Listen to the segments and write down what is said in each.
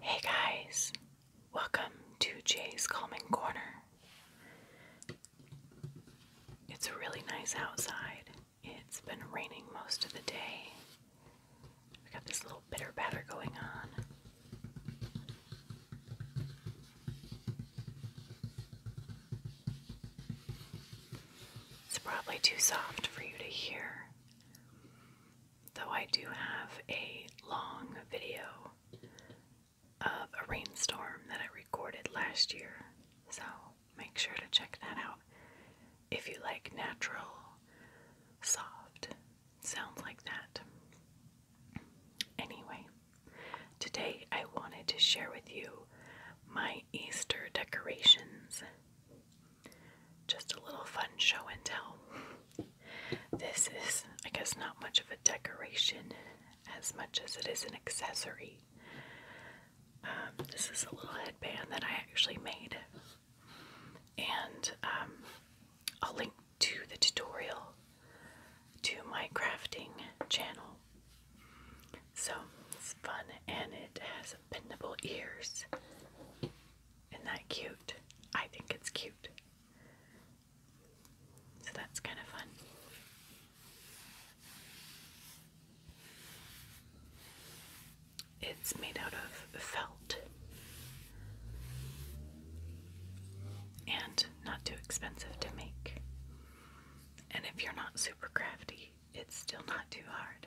Hey guys, welcome to Jay's Calming Corner. It's really nice outside. It's been raining most of the day. We got this little bitter batter going on. It's probably too soft for you to hear though I do have a long video of a rainstorm that I recorded last year, so make sure to check that out if you like natural, soft sounds like that. Anyway, today I wanted to share with you my Easter decorations. Just a little fun show and tell. This is, I guess, not much of a decoration as much as it is an accessory. Um, this is a little headband that I actually made, and um, I'll link to the tutorial to my crafting channel. So it's fun, and it has bendable ears. Isn't that cute? I think it's cute. So that's kind of fun. It's made out of felt and not too expensive to make. And if you're not super crafty, it's still not too hard.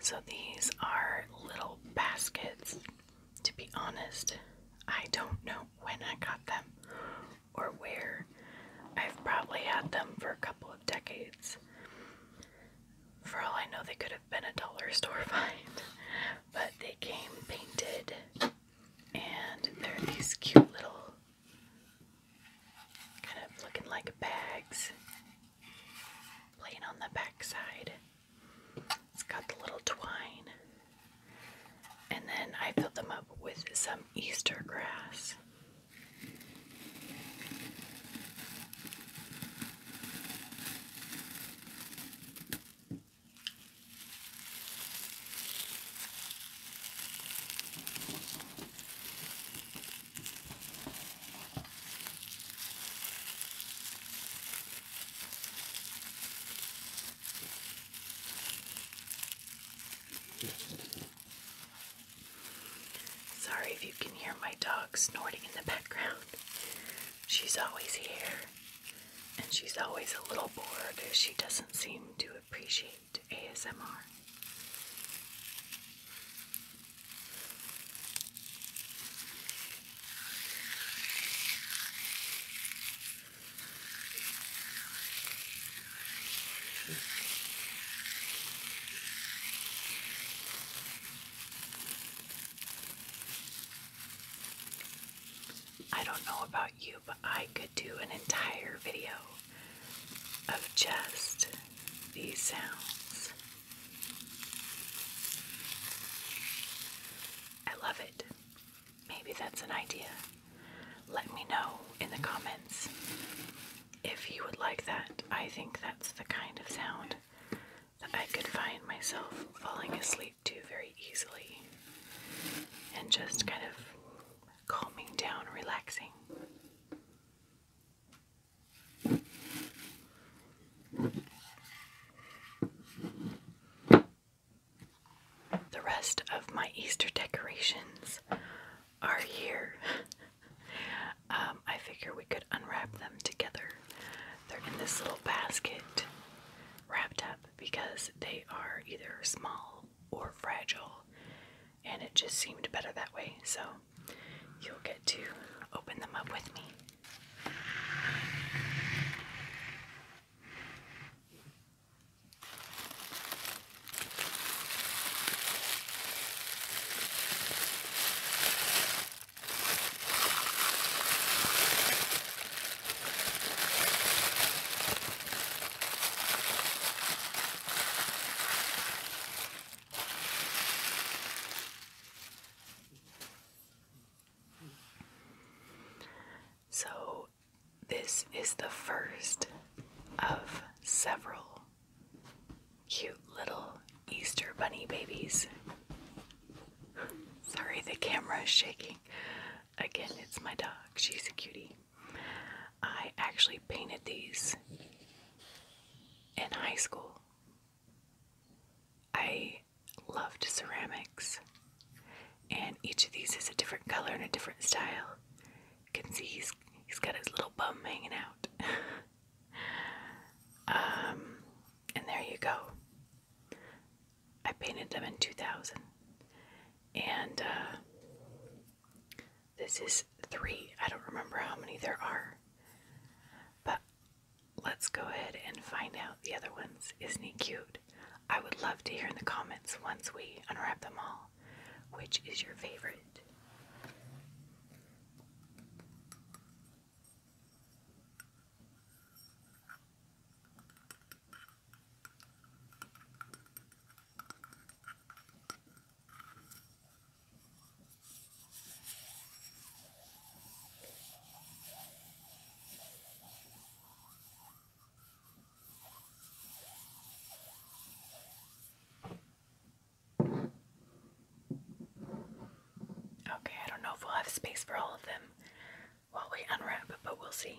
So these are little baskets. To be honest, I don't know when I got them or where. I've probably had them for a couple of decades. For all I know, they could have been a dollar store find, but they came painted, and they're these cute little kind of looking like bags. Plain on the backside. It's got the little twine. And then I filled them up with some Easter grass. Sorry if you can hear my dog snorting in the background. She's always here, and she's always a little bored she doesn't seem to appreciate ASMR. I don't know about you, but I could do an entire video of just these sounds. I love it. Maybe that's an idea. Let me know in the comments if you would like that. I think that's the kind of sound that I could find myself falling asleep to very easily and just kind of calming down, relaxing. The rest of my Easter decorations are here. Um, I figure we could unwrap them together. They're in this little basket wrapped up because they are either small or fragile, and it just seemed better that way. So you'll get to open them up with me. So, this is the first of several cute little Easter bunny babies. Sorry, the camera is shaking. Again, it's my dog. She's a cutie. I actually painted these in high school. I loved ceramics, and each of these is a different color and a different style. You can see he's, he's got his little bum hanging out. um, and there you go. I painted them in 2000. And uh, this is three. I don't remember how many there are. But let's go ahead and find out the other ones. Isn't he cute? I would love to hear in the comments once we unwrap them all. Which is your favorite? Okay, I don't know if we'll have space for all of them while we unwrap, but we'll see.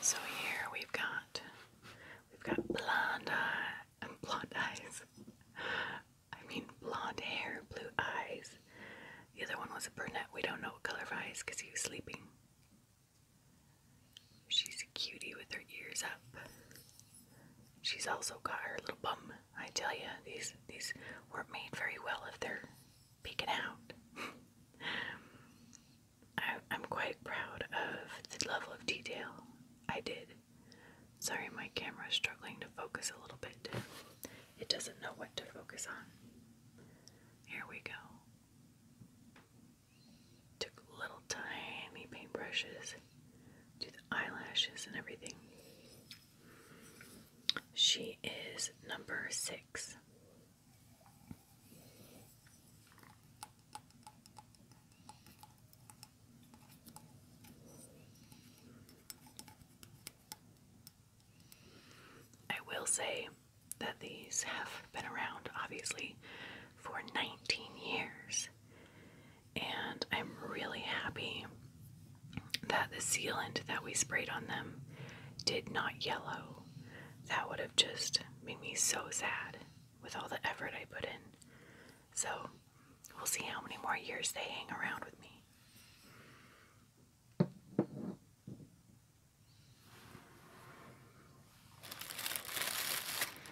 So here we've got we've got blonde eye, blonde eyes. I mean blonde hair, blue eyes. The other one was a brunette. We don't know what color eyes because he was sleeping. She's a cutie with her ears up. She's also got her little bum I tell you, these these weren't made very well if they're peeking out. I, am quite proud of the level of detail I did. Sorry, my camera is struggling to focus a little bit. It doesn't know what to focus on. Here we go. Took little tiny paintbrushes do the eyelashes and everything. She is number six. I will say that these have been around, obviously, for 19 years and I'm really happy that the sealant that we sprayed on them did not yellow. That would have just made me so sad with all the effort I put in. So we'll see how many more years they hang around with me.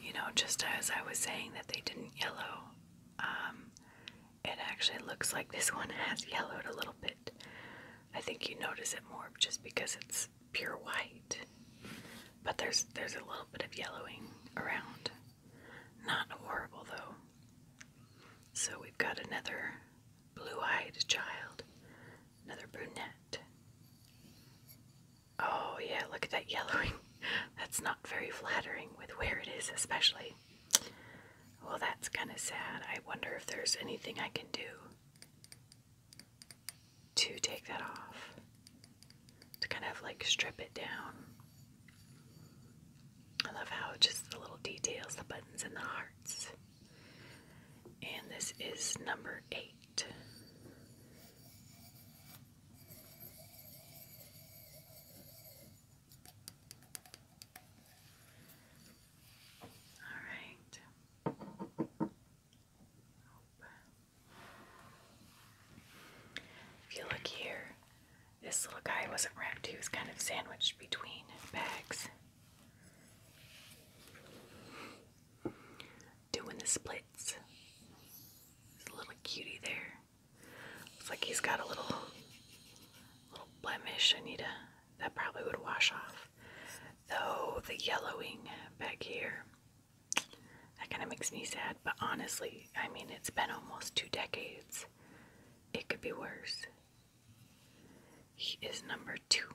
You know, just as I was saying that they didn't yellow, um, it actually looks like this one has yellowed a little bit. I think you notice it more just because it's pure white. But there's there's a little bit of yellowing around. Not horrible though. So we've got another blue-eyed child, another brunette. Oh, yeah, look at that yellowing. That's not very flattering with where it is, especially. Well, that's kind of sad. I wonder if there's anything I can do to take that off, to kind of like strip it down. I love how just the little details, the buttons and the hearts. And this is number eight. All right. If you look here, this little guy wasn't wrapped, he was kind of sandwiched between bags. Doing the split it's a little cutie there. Looks like he's got a little little blemish. I need a that probably would wash off. Though the yellowing back here. That kind of makes me sad, but honestly, I mean, it's been almost two decades. It could be worse. He is number two.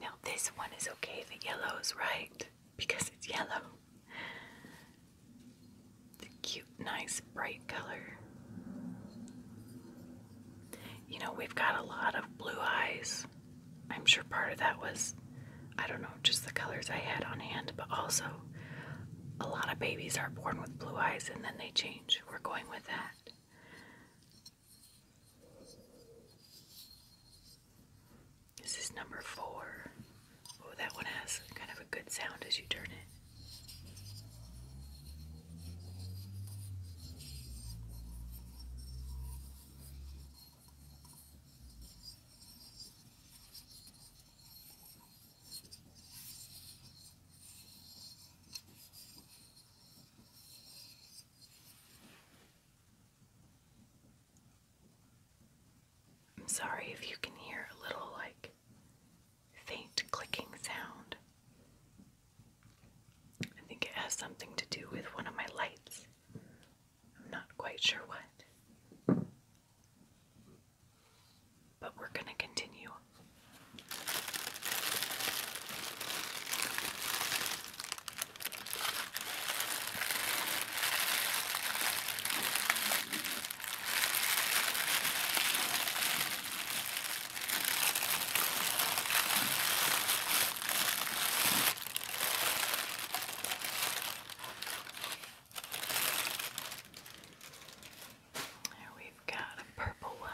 Now, this one is okay, the yellow's right because it's yellow. The nice, bright color. You know, we've got a lot of blue eyes. I'm sure part of that was, I don't know, just the colors I had on hand, but also a lot of babies are born with blue eyes and then they change. We're going with that. This is number four. Oh, that one has kind of a good sound as you turn it. I'm sorry if you can hear a little like faint clicking sound. I think it has something to do with one of my lights. I'm not quite sure what. But we're going to continue we've got a purple one.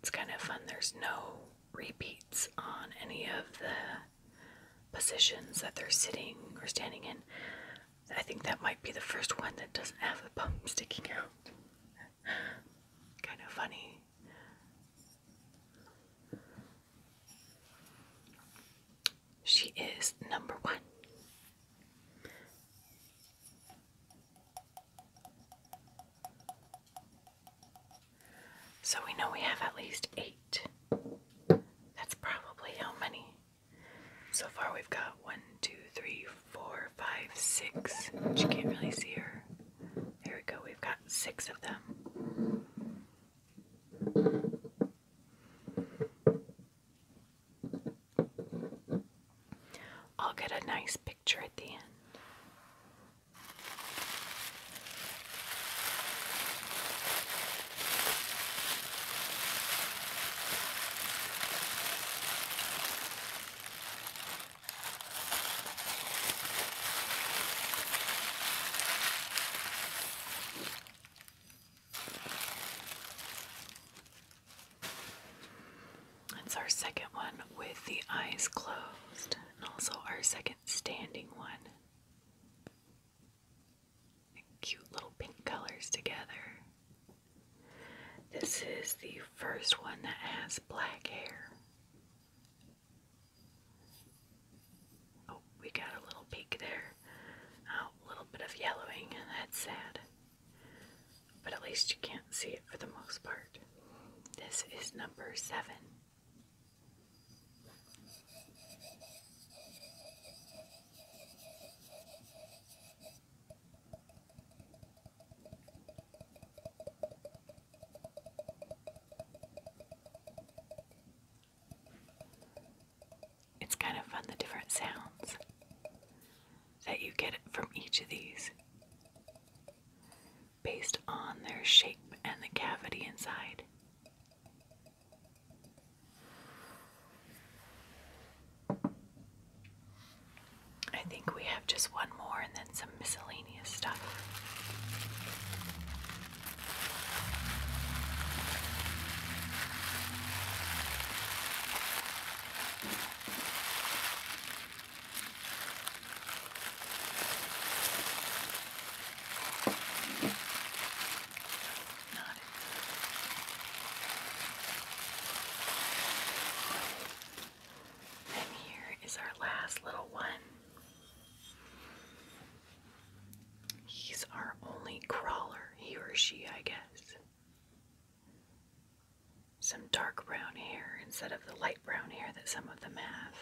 It's kind of fun. There's no repeats on any of the positions that they're sitting or standing in. I think that might be the first one that doesn't have the bum sticking out. kind of funny. She is number one. So we know we have at least eight. That's probably how many so far, we've got one, two, three, four, five, six, but you can't really see her. There we go, we've got six of them. I'll get a nice picture at the end. That's our second one with the eyes closed, and also our second standing one cute little pink colors together. This is the first one that has black hair. Oh, we got a little peek there. Oh, a little bit of yellowing. That's sad. But at least you can't see it for the most part. This is number seven. It's kind of fun the different sounds that you get from each of these based on their shape and the cavity inside. I think we have just one more and then some miscellaneous stuff. And here is our last little one. He's our only crawler, he or she, I guess. Some dark brown hair instead of the light brown hair that some of them have.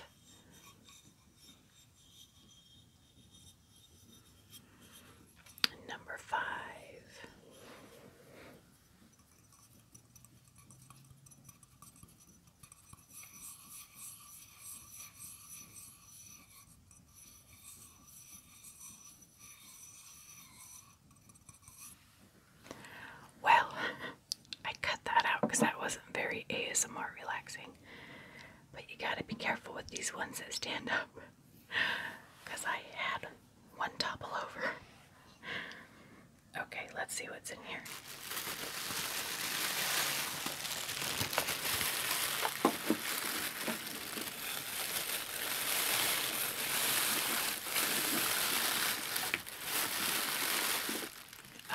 Number five. Well, I cut that out because that wasn't very ASMR relaxing. But you gotta be careful with these ones that stand up. I had one topple over. Okay, let's see what's in here.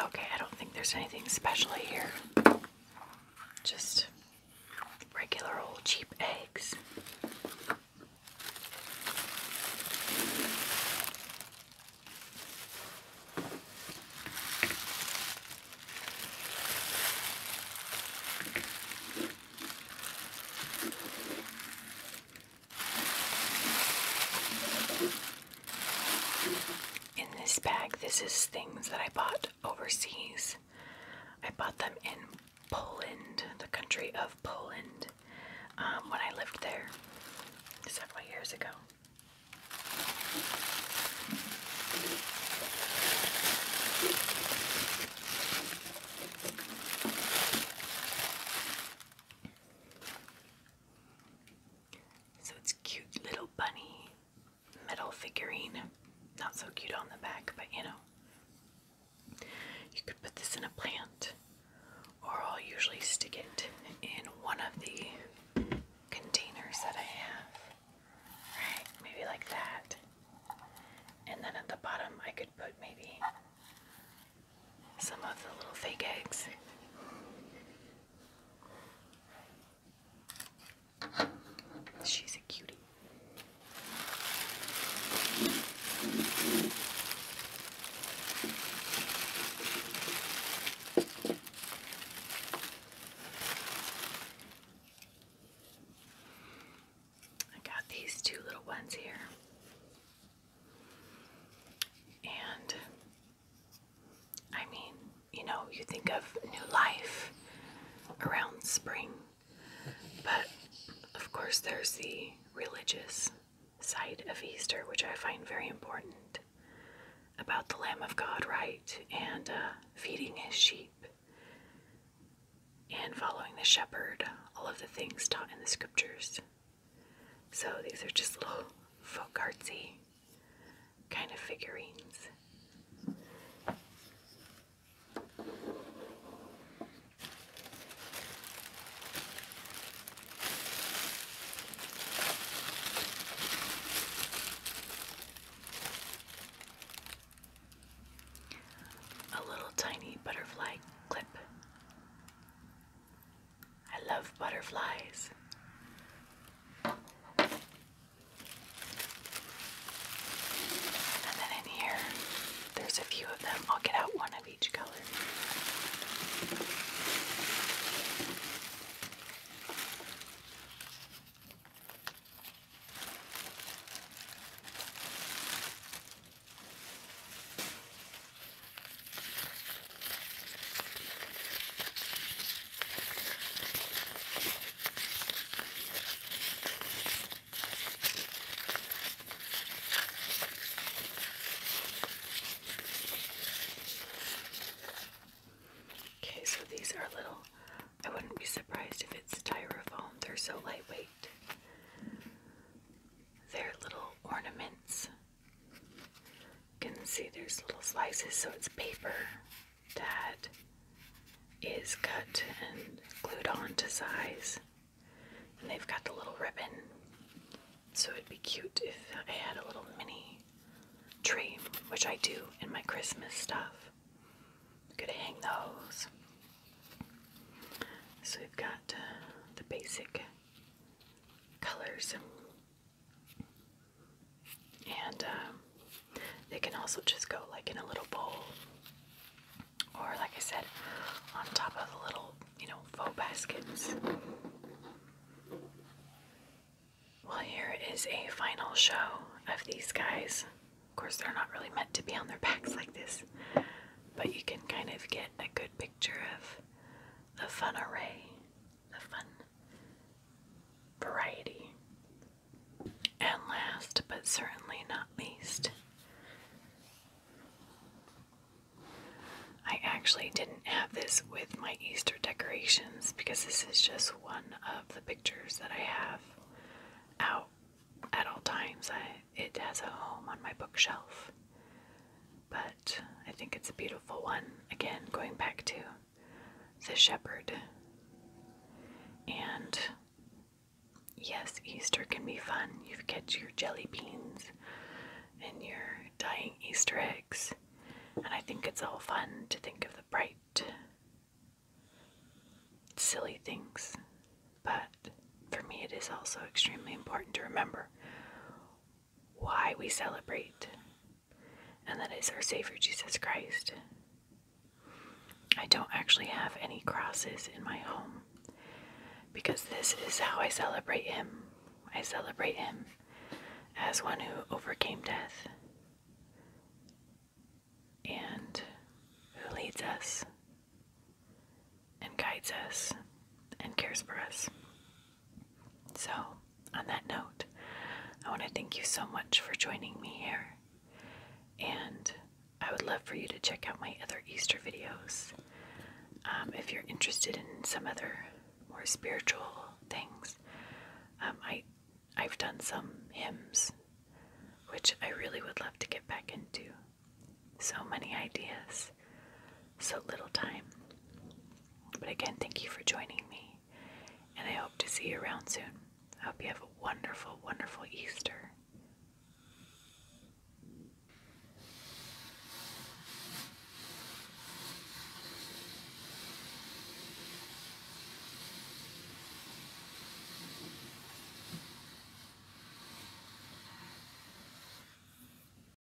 Okay, I don't think there's anything special here. Just regular old cheap eggs. In this bag, this is things that I bought overseas. I bought them in Poland, the country of Poland, um, when I lived there several years ago. So it's cute little bunny metal figurine. Not so cute on the back, but you know. You could put this in a plant, or I'll usually stick it in one of the containers that I have. Right? Maybe like that. And then at the bottom, I could put maybe some of the little fake eggs. She's a cutie. I got these two little ones here. And I mean, you know, you think of new life around spring, but of course, there's the religious side of Easter, which I find very important about the Lamb of God, right? And uh, feeding his sheep and following the shepherd, all of the things taught in the scriptures. So these are just little folk artsy kind of figurines. A little tiny butterfly clip. I love butterflies. And then in here, there's a few of them. I'll get out one of each color. Okay, so these are little. I wouldn't be surprised if it's styrofoam. They're so lightweight. They're little ornaments you can see there's little slices, so it's paper that is cut and glued on to size. And they've got the little ribbon. So it'd be cute if I had a little mini tree, which I do in my Christmas stuff. I'm gonna hang those. So we've got uh, the basic colors and um, they can also just go like in a little bowl or like I said on top of the little you know faux baskets well here is a final show of these guys of course they're not really meant to be on their backs like this but you can kind of get a good picture of the fun array the fun variety. And last but certainly not least, I actually didn't have this with my Easter decorations because this is just one of the pictures that I have out at all times. it has a home on my bookshelf. But I think it's a beautiful one. Again, going back to the shepherd. And yes, Easter can be fun. You get your jelly beans and your dying Easter eggs. And I think it's all fun to think of the bright, silly things. But for me, it is also extremely important to remember why we celebrate, and that is our Savior Jesus Christ. I don't actually have any crosses in my home because this is how I celebrate Him. I celebrate Him as one who overcame death and who leads us and guides us and cares for us. So, on that note, I want to thank you so much for joining me here. And I would love for you to check out my other Easter videos. Um, if you're interested in some other more spiritual things, um, I, I've done some hymns, which I really would love to get back into. So many ideas so little time. But again, thank you for joining me, and I hope to see you around soon. I hope you have a wonderful, wonderful Easter.